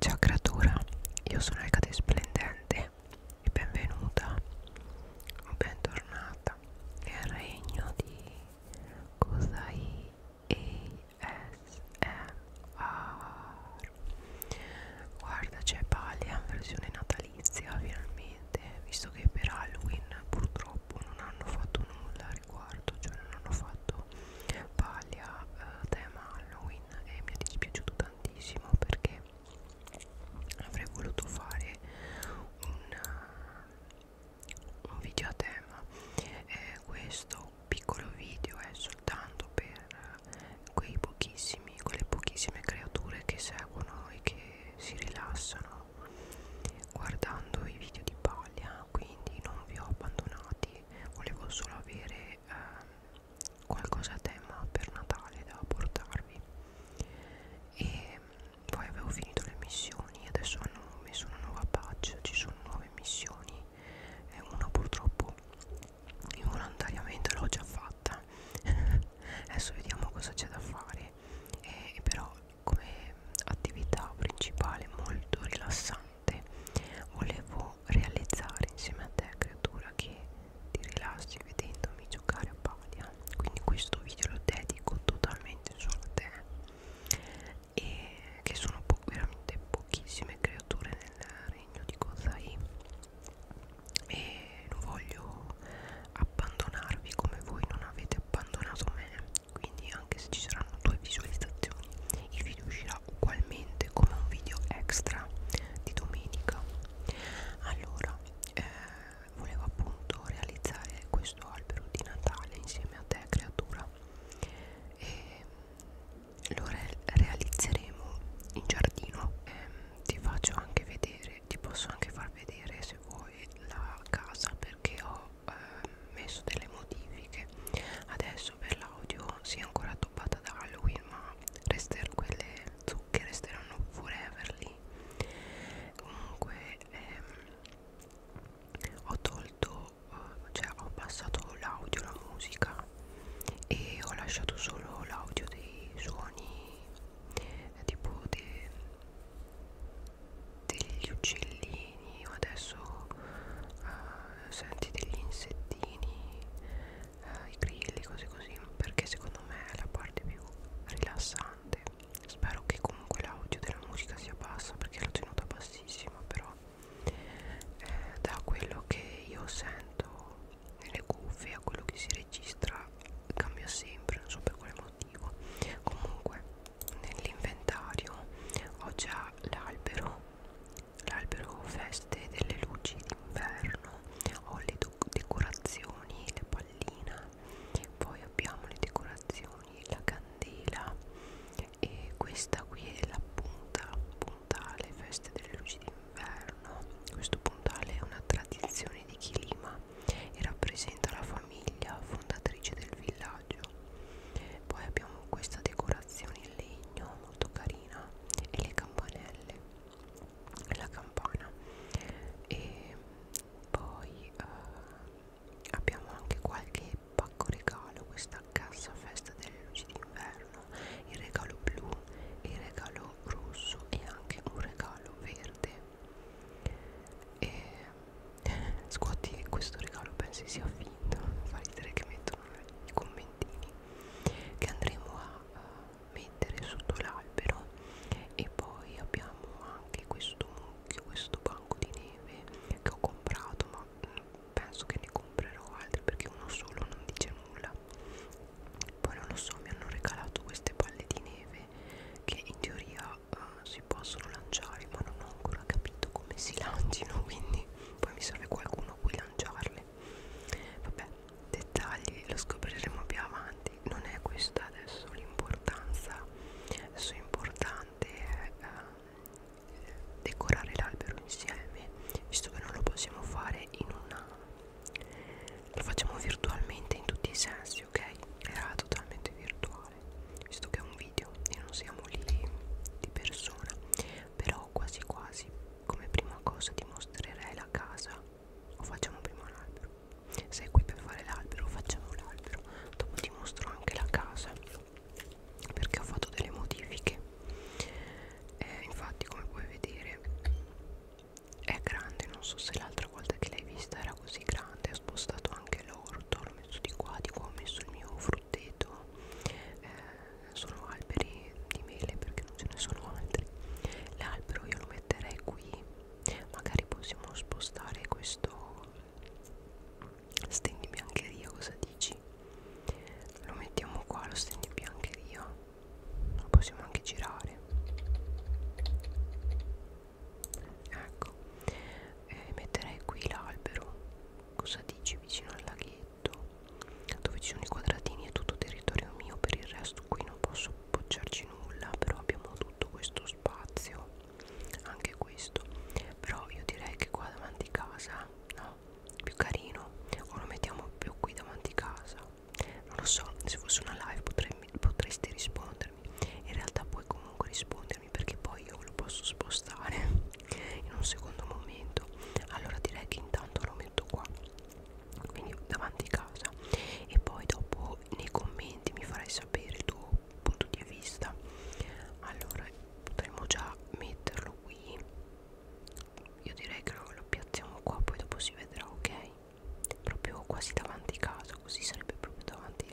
Ciao creatura, io sono Elcate Splendente e benvenuta o bentornata nel regno di Kozai ASMR Guarda c'è Palian versione natalizia finalmente, visto che per Halloween purtroppo non hanno fatto nulla al riguardo, cioè non hanno fatto paglia eh, tema Halloween e mi è dispiaciuto tantissimo perché avrei voluto fare un, un video a tema eh, questo piccolo video è soltanto per eh, quei pochissimi quelle pochissime creature che seguono e che si rilassano guardando i video di paglia quindi non vi ho abbandonati volevo solo avere eh, qualcosa a tema per Natale da portarvi e poi avevo finito le missioni adesso hanno messo una nuova patch ci sono nuove missioni e una purtroppo involontariamente l'ho già fatta adesso vediamo cosa c'è da fare e, però come attività principale molto rilassante notte volevo realizzare insieme a te creatura che ti rilassi vedendomi giocare a Palia quindi questo video lo dedico totalmente solo a te e che sono po veramente pochissime creature nel regno di Kozai e non voglio abbandonarvi come voi non avete abbandonato me quindi anche se ci saranno due visualizzazioni il video uscirà ugualmente come un video extra di domenica allora eh, volevo appunto realizzare questo albero di Natale insieme a te creatura e lo re realizzeremo in giardino e, ehm, ti faccio anche vedere ti posso anche far vedere se vuoi la casa perché ho eh, messo delle modifiche adesso per l'audio si è ancora toppata da Halloween ma resterò quelle zucche resteranno forever lì comunque ehm, ho tolto eh, cioè ho passato l'audio la musica e ho lasciato solo l'audio dei suoni eh, tipo de, degli uccelli bambini o adesso uh, senti degli insettini uh, i grilli cose così perché secondo me è la parte più rilassante spero che comunque l'audio della musica sia bassa perché l'ho tenuta bassissima però eh, da quello che io sento nelle cuffie a quello che si registra cambia sempre non so per quale motivo comunque nell'inventario ho già l'albero l'albero feste delle luci d'inverno ho le decorazioni la pallina poi abbiamo le decorazioni la candela e questa qui è la punta puntale feste delle luci d'inverno questo puntale è una tradizione di Chilima e rappresenta la famiglia fondatrice del villaggio villaggio poi abbiamo questa decorazione in legno molto carina e le campanelle la campana e poi eh, abbiamo anche qualche pacco regalo questa cassa festa delle luci d'inverno il regalo blu il regalo rosso e anche un regalo verde e Scuoti che questo regalo pensi sia finto Fa ridere che mettono i commentini Che andremo a, a mettere sotto l'albero E poi abbiamo anche questo mucchio Questo banco di neve Che ho comprato Ma mm, penso che ne comprerò altri Perché uno solo non dice nulla poi non lo so, mi hanno regalato queste palle di neve che in teoria eh, si possono lanciare ma non ho ancora capito come si lancino quindi poi mi serve qualcuno a cui lanciarle vabbè dettagli lo scopriremo più avanti non è questa adesso l'importanza adesso è importante eh, decorare l'albero insieme visto che non lo possiamo fare in una lo facciamo virtualmente in tutti i sensi ok era totalmente virtuale fare visto che è un video e non siamo lì di persona però quasi quasi come prima cosa ti mostrerei la casa o facciamo prima l'albero sei qui per fare l'albero facciamo l'albero dopo ti mostro anche la casa perché ho fatto delle modifiche eh, infatti come puoi vedere è grande non so se l'altra volta che l'hai vista era così grande ho spostato anche l'orto l'ho messo di qua di qua ho messo il mio frutteto eh, sono alberi di mele perché non ce ne sono altri l'albero io lo metterei qui magari possiamo spostare questo stendi biancheria cosa dici lo mettiamo qua lo stendi biancheria lo possiamo anche girare ecco e eh, metterei qui l'albero cosa dici vicino al laghetto dove ci sono i quadratini è tutto territorio mio per il resto qui non posso appoggiarci nulla però abbiamo tutto questo spazio anche questo però io direi che qua davanti casa no più carino o lo mettiamo più qui davanti casa non lo so se fosse una live potrei, potreste rispondere rispondermi in realtà puoi comunque rispondermi perché poi io lo posso spostare in un secondo momento allora direi che intanto lo metto qua quindi davanti a casa e poi dopo nei commenti mi farai sapere il tuo punto di vista allora potremmo già metterlo qui io direi che lo, lo piazziamo qua poi dopo si vedrà ok proprio quasi davanti a casa messo così sarebbe proprio davanti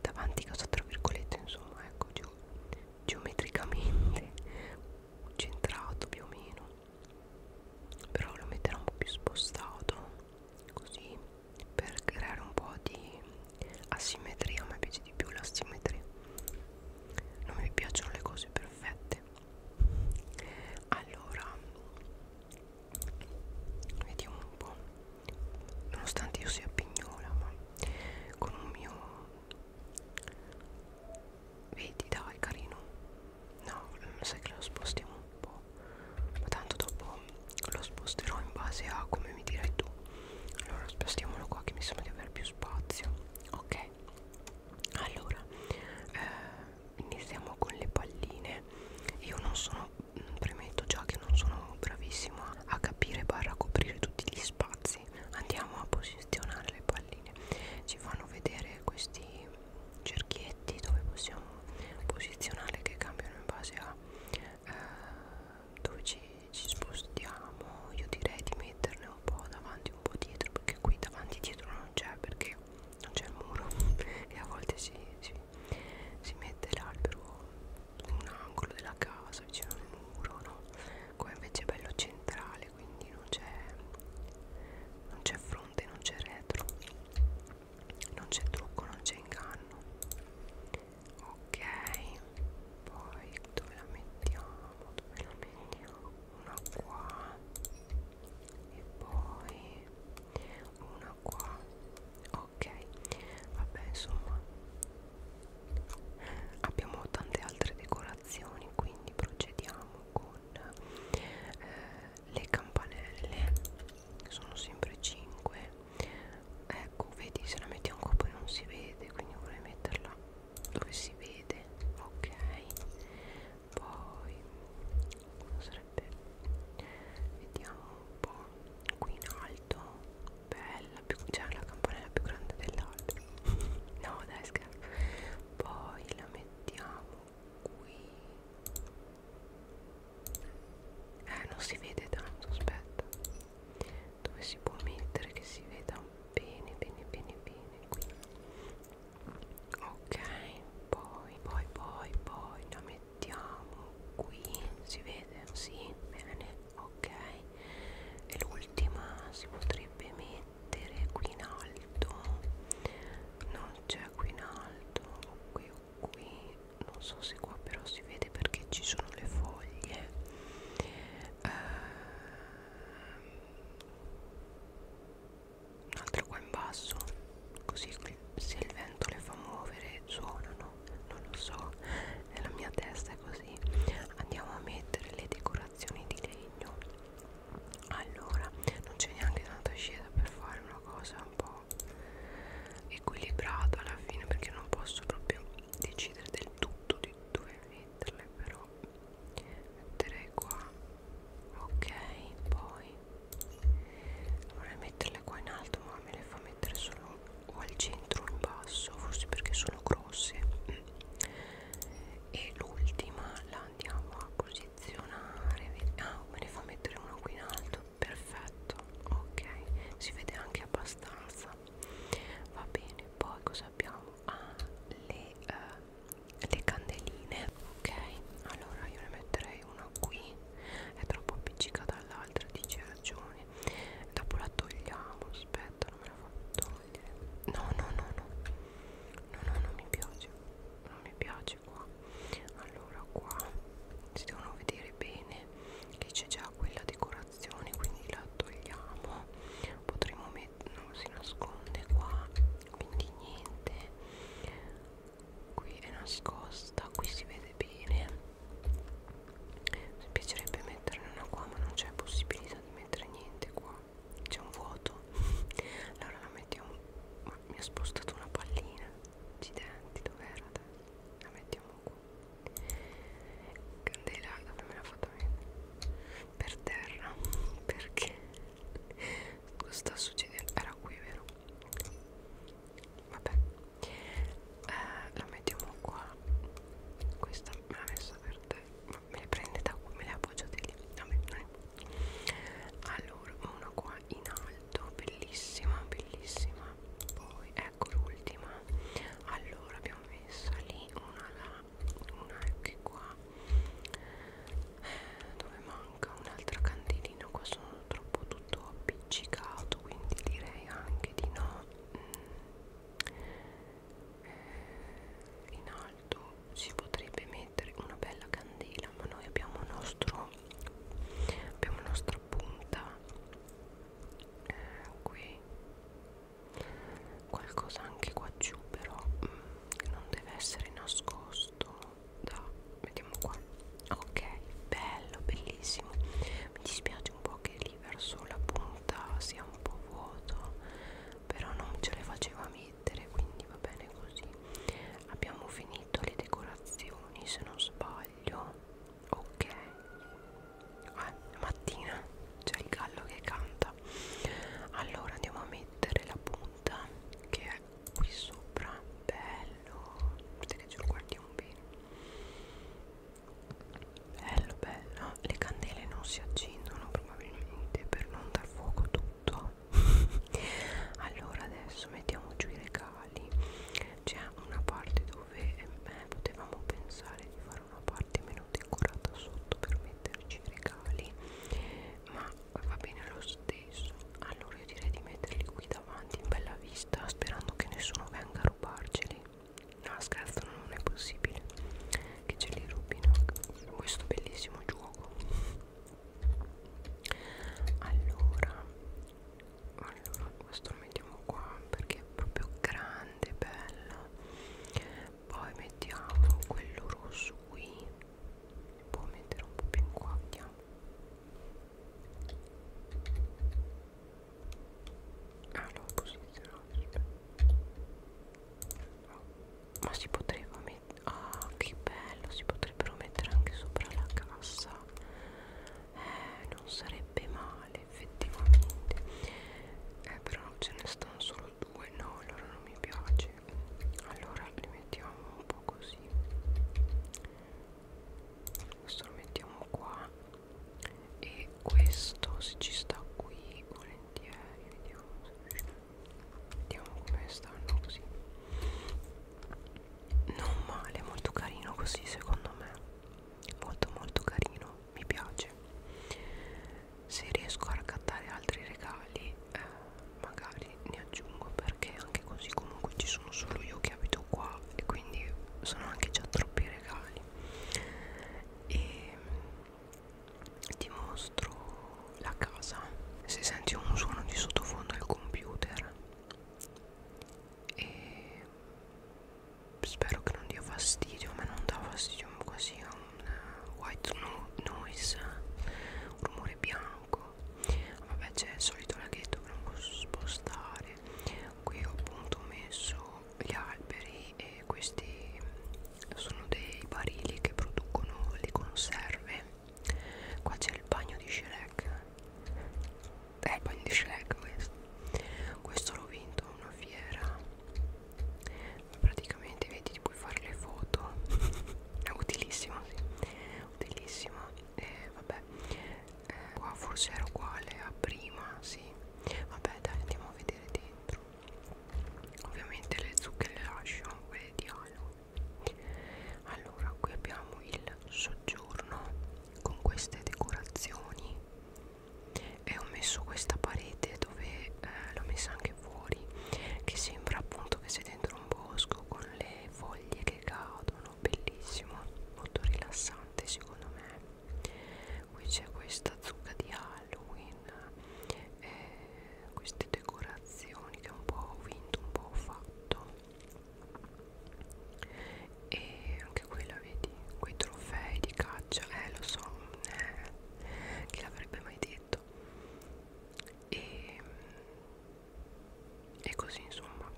davanti casa tra virgolette insomma ecco ge geometricamente centrato più o meno però lo metterò un po' più spostato così per creare un po' di asimmetria a me piace di più l'asimmetria non mi piacciono le cose perfette allora vediamo un po' nonostante io sia pignola ma con un mio vedi dai carino no sai che lo spostiamo un po' ma tanto dopo lo sposterò in base a come mi dirai tu allora spostiamolo qua che mi sembra di avere più spazio ok allora eh, iniziamo con le palline io non sono premetto già che non sono bravissima a capire barra coprire tutti gli spazi andiamo a posizionare le palline ci fanno vedere questi cerchietti dove possiamo posizionarle che cambiano in base a eh, dove ci, ci spostiamo io direi di metterne un po' davanti un po' dietro perché qui davanti dietro non c'è perché non c'è il muro e a volte si, si si mette l'albero in un angolo della casa vicino al muro no? qua invece è bello centrale quindi non c'è non c'è fronte non c'è retro non c'è trucco non c'è inganno ok poi dove la mettiamo dove la mettiamo una qua e poi una qua ok vabbè insomma abbiamo tante altre decorazioni quindi procediamo con eh, le campanelle sono sempre 5 ecco vedi se la mettiamo qua poi non si vede quindi vorrei metterla dove si vede ok poi cosa piacerebbe vediamo un po' qui in alto bella più cioè la campanella più grande dell'altro no dai scherzo poi la mettiamo qui eh non si vede tanto aspetta dove si può mettere che si veda bene bene bene bene qui ok poi poi poi poi la mettiamo mettiamo qui si vede sì bene ok e l'ultima si potrebbe mettere qui in alto non c'è qui in alto o qui o qui non so se qua però si vede perché ci sono le foglie eh, un'altra qua in basso così se il vento le fa muovere suonano non lo so nella mia testa è così andiamo a mettere le decorazioni di legno allora non c'è neanche tanta scesa per fare una cosa un po' equilibrata alla fine perché non posso proprio decidere del tutto di dove metterle però metterei qua ok poi vorrei metterle qua in alto ma me le fa mettere solo o al centro o in basso forse perché sono grosse e l'ultima la andiamo a posizionare ah me ne fa mettere una qui in alto perfetto ok si vede anche abbastanza va bene poi cosa abbiamo ah le, uh, le candeline ok allora io ne metterei una qui è troppo appiccicata all'altra dice ragione dopo la togliamo aspetta non me la fa togliere no no no no no no non mi piace non mi piace qua allora qua si devono vedere bene che c'è già quella decorazione quindi la togliamo potremmo mettere no si nasconde qua quindi niente qui è nascosta qui si vede bene mi piacerebbe metterne una qua ma non c'è possibilità di mettere niente qua c'è un vuoto allora la mettiamo ma mi ha spostato una pallina accidenti dov'era la mettiamo qua candela dove me l'ha fatta per terra perché cosa sta succedendo era qui vero vabbè eh, la mettiamo qua questa me l'ha messa per te ma me le prende da qui me le appoggiate lì vabbè non allora una qua in alto bellissima bellissima poi ecco l'ultima allora abbiamo messa lì una là una anche qua eh, dove mai manca un altro candelino qua sono troppo tutto appiccicato quindi direi anche di no mm. eh, in alto si potrebbe mettere una bella candela ma noi abbiamo il nostro abbiamo la nostra punta eh, qui qualcosa anche qua giù però mm, non deve essere nascosto da mettiamo qua ok bello bellissimo mi dispiace un po' che lì verso la punta sia un po' vuoto però non ce le faceva mettere quindi va bene così abbiamo finito le decorazioni se non sbaglio ok ah, mattina c'è il gallo che canta allora andiamo a mettere la punta che è qui sopra bello vedete che ce lo guardiamo bene bello bello le candele non si accendono probabilmente per non dar fuoco tutto allora adesso mettiamo giù i regali c'è una parte dove eh, potevamo pensare di fare una parte meno decorata sotto per metterci i regali ma va bene lo stesso allora io direi di metterli qui davanti in bella vista sperando che nessuno venga a rubarceli no scherzo non è possibile che ce li rubino questo bellissimo gioco allora allora questo lo mettiamo qua perché è proprio grande bello poi mettiamo quello rosso qui può mettere un po' più in quaglia ah l'ho posizionato oh. ma si potrebbe mettere ah che bello si potrebbero mettere anche sopra la cassa eh non sarebbe male effettivamente eh però ce ne stanno solo due no allora non mi piace allora li mettiamo un po' così questo lo mettiamo qua e questo se ci sta qui volentieri vediamo se vediamo come stanno così non male molto carino così secondo me molto molto carino mi piace se riesco a raccattare altri regali eh, magari ne aggiungo perché anche così comunque ci sono solo io che abito qua e quindi sono anche già troppi regali e ti mostro la casa se senti un suono di sottofondo al computer e spero che non dia fastidio a me non dà fastidio quasi a un eh, white noise un rumore bianco vabbè c'è il solito laghetto che non posso spostare qui ho appunto messo gli alberi e questi sono dei barili che producono le conserve qua c'è il bagno di Shrek è il bagno di Shrek questo questo l'ho vinto a una fiera praticamente praticamente vedi puoi fare le foto è utilissima sì. utilissima e vabbè eh, qua forse era uguale a prima sì vabbè dai andiamo a vedere dentro ovviamente le zucche le lascio quelle di Halo allora qui abbiamo il soggiorno con queste decorazioni e ho messo questa parete dove eh, l'ho messa anche anche fuori che sembra appunto che sei dentro un bosco con le foglie che cadono bellissimo molto rilassante secondo me qui c'è questa zucca di Halloween eh, queste decorazioni che è un po' vinto un po' fatto e anche quella vedi quei trofei di caccia eh lo so eh, chi l'avrebbe mai detto e, e così insomma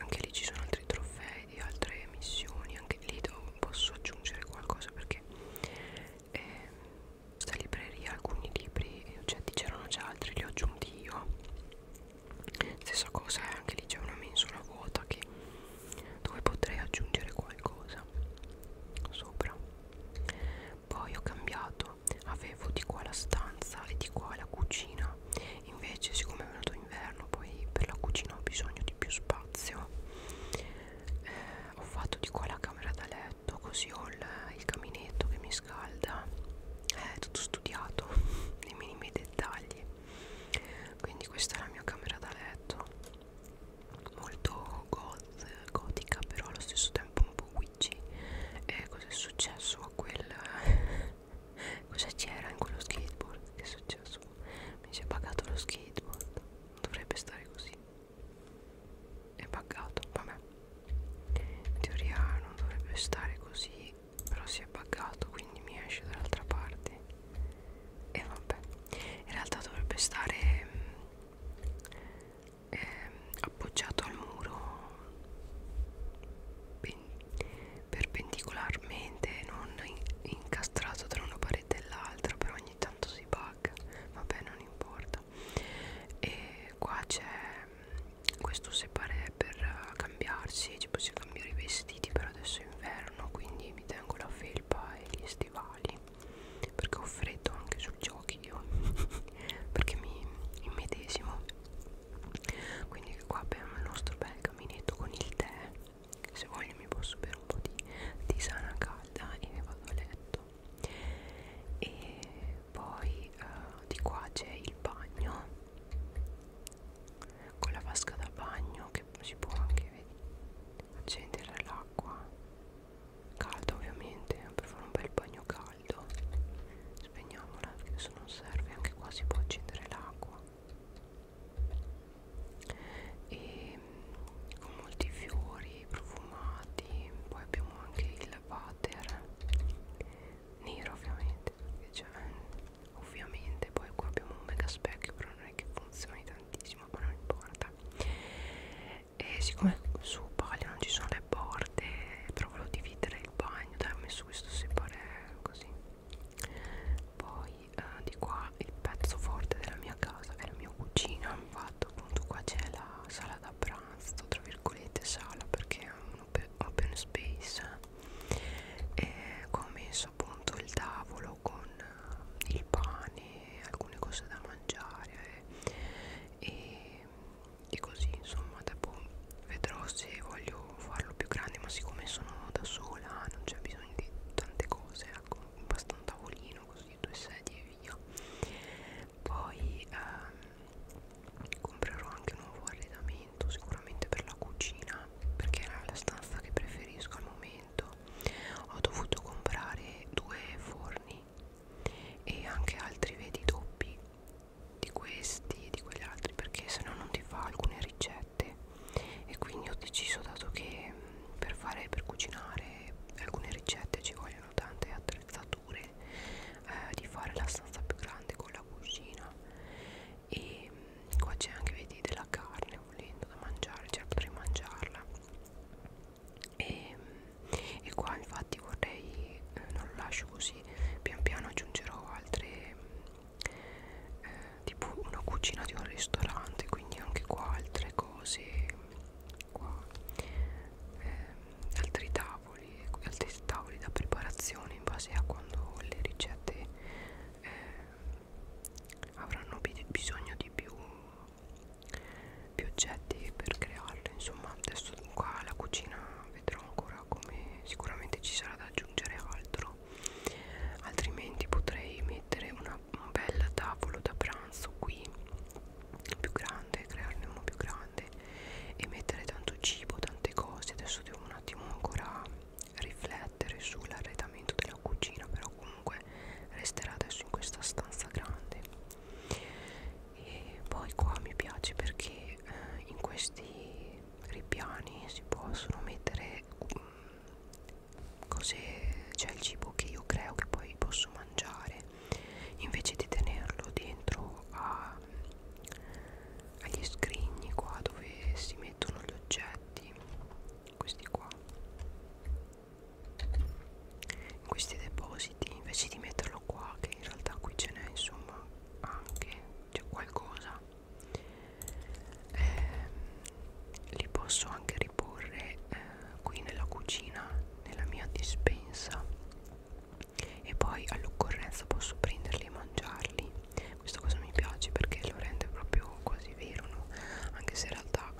anche lì ci sono altri trofei di altre missioni anche lì posso aggiungere qualcosa perché eh, sta libreria alcuni libri e cioè, oggetti c'erano già altri li ho aggiunti io stessa cosa anche lì c'è una mensola vuota che dove potrei aggiungere qualcosa sopra poi ho cambiato, avevo di qua la stanza e di qua la cucina. Invece, siccome è venuto inverno, poi per la cucina ho bisogno di più spazio. Eh, ho fatto di qua la camera da letto, così ho il, il caminetto che mi scalda. Eh, è eh, tutto studiato nei minimi dettagli. Quindi, questa è la mia camera da letto molto goth, gotica però allo stesso tempo un po' witchy e cosa è successo a quel cosa c'era in quello skateboard che è successo mi si è pagato lo skateboard non dovrebbe stare così è buggato vabbè in teoria non dovrebbe stare così però si è buggato quindi mi esce dall'altra parte e vabbè in realtà dovrebbe stare mm, eh, appoggiato al muro perpendicolarmente non incastrato tra una parete e l'altra però ogni tanto si bug vabbè non importa e qua c'è mm, questo separe per cambiarsi ci possiamo cambiare i vestiti per adesso è inverno quindi mi tengo la felpa e gli stivali perché ho freddo anche sui giochi io perché mi immedesimo quindi qua abbiamo il nostro bel caminetto con il tè se voglio mi posso bere un po' di tisana calda e vado a letto e poi uh, di qua c'è il bagno con la vasca da bagno che si può anche accendere l'acqua calda ovviamente per fare un bel bagno caldo spegniamola perché adesso non serve anche qua si può accendere l'acqua e mm, con molti fiori profumati poi abbiamo anche il water nero ovviamente cioè, ovviamente poi qua abbiamo un mega specchio però non è che funzioni tantissimo ma non importa e siccome su Bali non ci sono le porte però volevo dividere il bagno dai ho messo questo separare così poi eh, di qua il pezzo forte della mia casa è la mia cucina fatto appunto qua c'è la sala da pranzo tra virgolette sala perché è un open, open space e qua ho messo appunto il tavolo con eh, il pane alcune cose da mangiare e, e così insomma dopo vedrò se voglio farlo più grande ma siccome sono da sola non c'è bisogno di tante cose ecco basta un tavolino così due sedie e via poi ehm, comprerò anche un nuovo arredamento sicuramente per la cucina perché è la stanza che preferisco al momento ho dovuto comprare due forni e anche altri vedi doppi di questi e di quegli altri perché se no non ti fa alcune ricette e quindi ho deciso dato che per fare per cucinare alcune ricette ci vogliono tante attrezzature eh, di fare la stanza più grande con la cucina e qua c'è anche vedi della carne volendo da mangiare cioè potrei mangiarla e, e qua infatti vorrei eh, non lo lascio così pian piano aggiungerò altre eh, tipo una cucina di un ristorante quindi anche qua altre cose qua eh, altri tavoli altri tavoli da preparazione in base a quando le ricette eh, avranno bisogno di più, più oggetti per crearle insomma adesso qua la cucina vedrò ancora come sicuramente ci sarà da aggiungere altro altrimenti potrei mettere una, un bel tavolo da pranzo qui più grande crearne uno più grande e mettere tanto cibo tante cose adesso devo un attimo ancora riflettere sull'arredamento della cucina però comunque comunque resterà adesso in questa stanza grande e poi qua mi piace perché eh, in questi ripiani si possono mettere um, cose c'è cioè il cibo che io creo che poi posso mangiare invece di tenerlo dentro a, agli scrigni qua dove si mettono gli oggetti questi qua in questi depositi invece di metterlo qua che in realtà qui ce n'è insomma anche c'è qualcosa eh, li posso anche riporre eh, qui nella cucina nella mia dispensa e poi all'occorrenza posso prenderli e mangiarli questa cosa mi piace perché lo rende proprio quasi vero no? anche se in realtà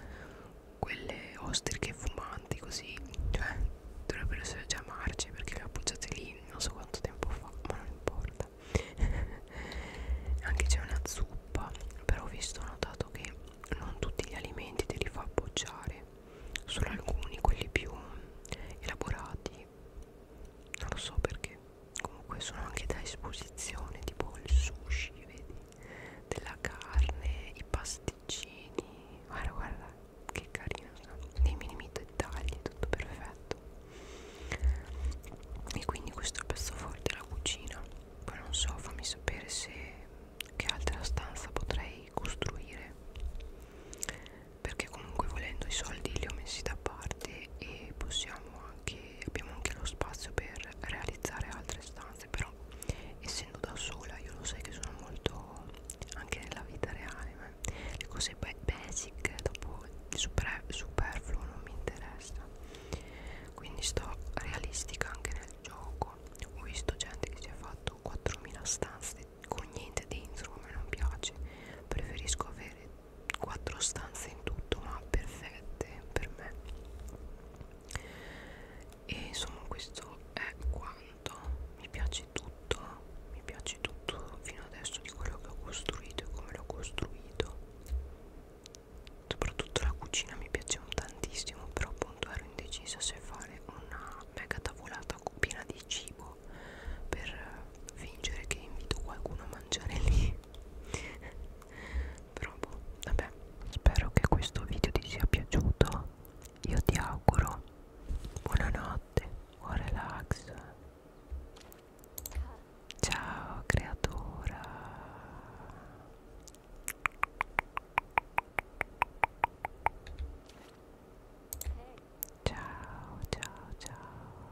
quelle ostriche fumanti così cioè dovrebbero essere già marce perché le ho appoggiate lì non so quanto tempo fa ma non importa anche c'è una zuppa però ho visto ho notato che non tutti gli alimenti te li fa appoggiare solo alcuni quelli più elaborati non lo so perché comunque sono anche da esposizione tipo il sushi vedi della carne, i pasticcini, guarda guarda che carino sono, nei minimi dettagli, tutto perfetto e quindi questo è il pezzo forte della cucina poi non so, fammi sapere se che altra stanza potrei costruire perché comunque volendo i soldi li ho messi da parte e possiamo anche e abbiamo anche lo spazio per realizzare altre stanze però essendo da sola io lo sai che sono molto anche nella vita reale ma le cose basic dopo il super, superfluo non mi interessa quindi sto realistica anche nel gioco ho visto gente che si è fatto 4000 stanze con niente dentro come non piace preferisco avere quattro stanze in tutto ma perfette per me e insomma questo è quanto mi piace tutto mi piace tutto fino adesso di quello che ho costruito e come l'ho costruito soprattutto la cucina mi piace tantissimo però appunto ero indecisa se fare una mega tavolata piena di cibo per fingere che invito qualcuno a mangiare lì provo boh, vabbè spero che questo video ti sia piaciuto io ti auguro buonanotte buon relax ciao creatura ciao ciao ciao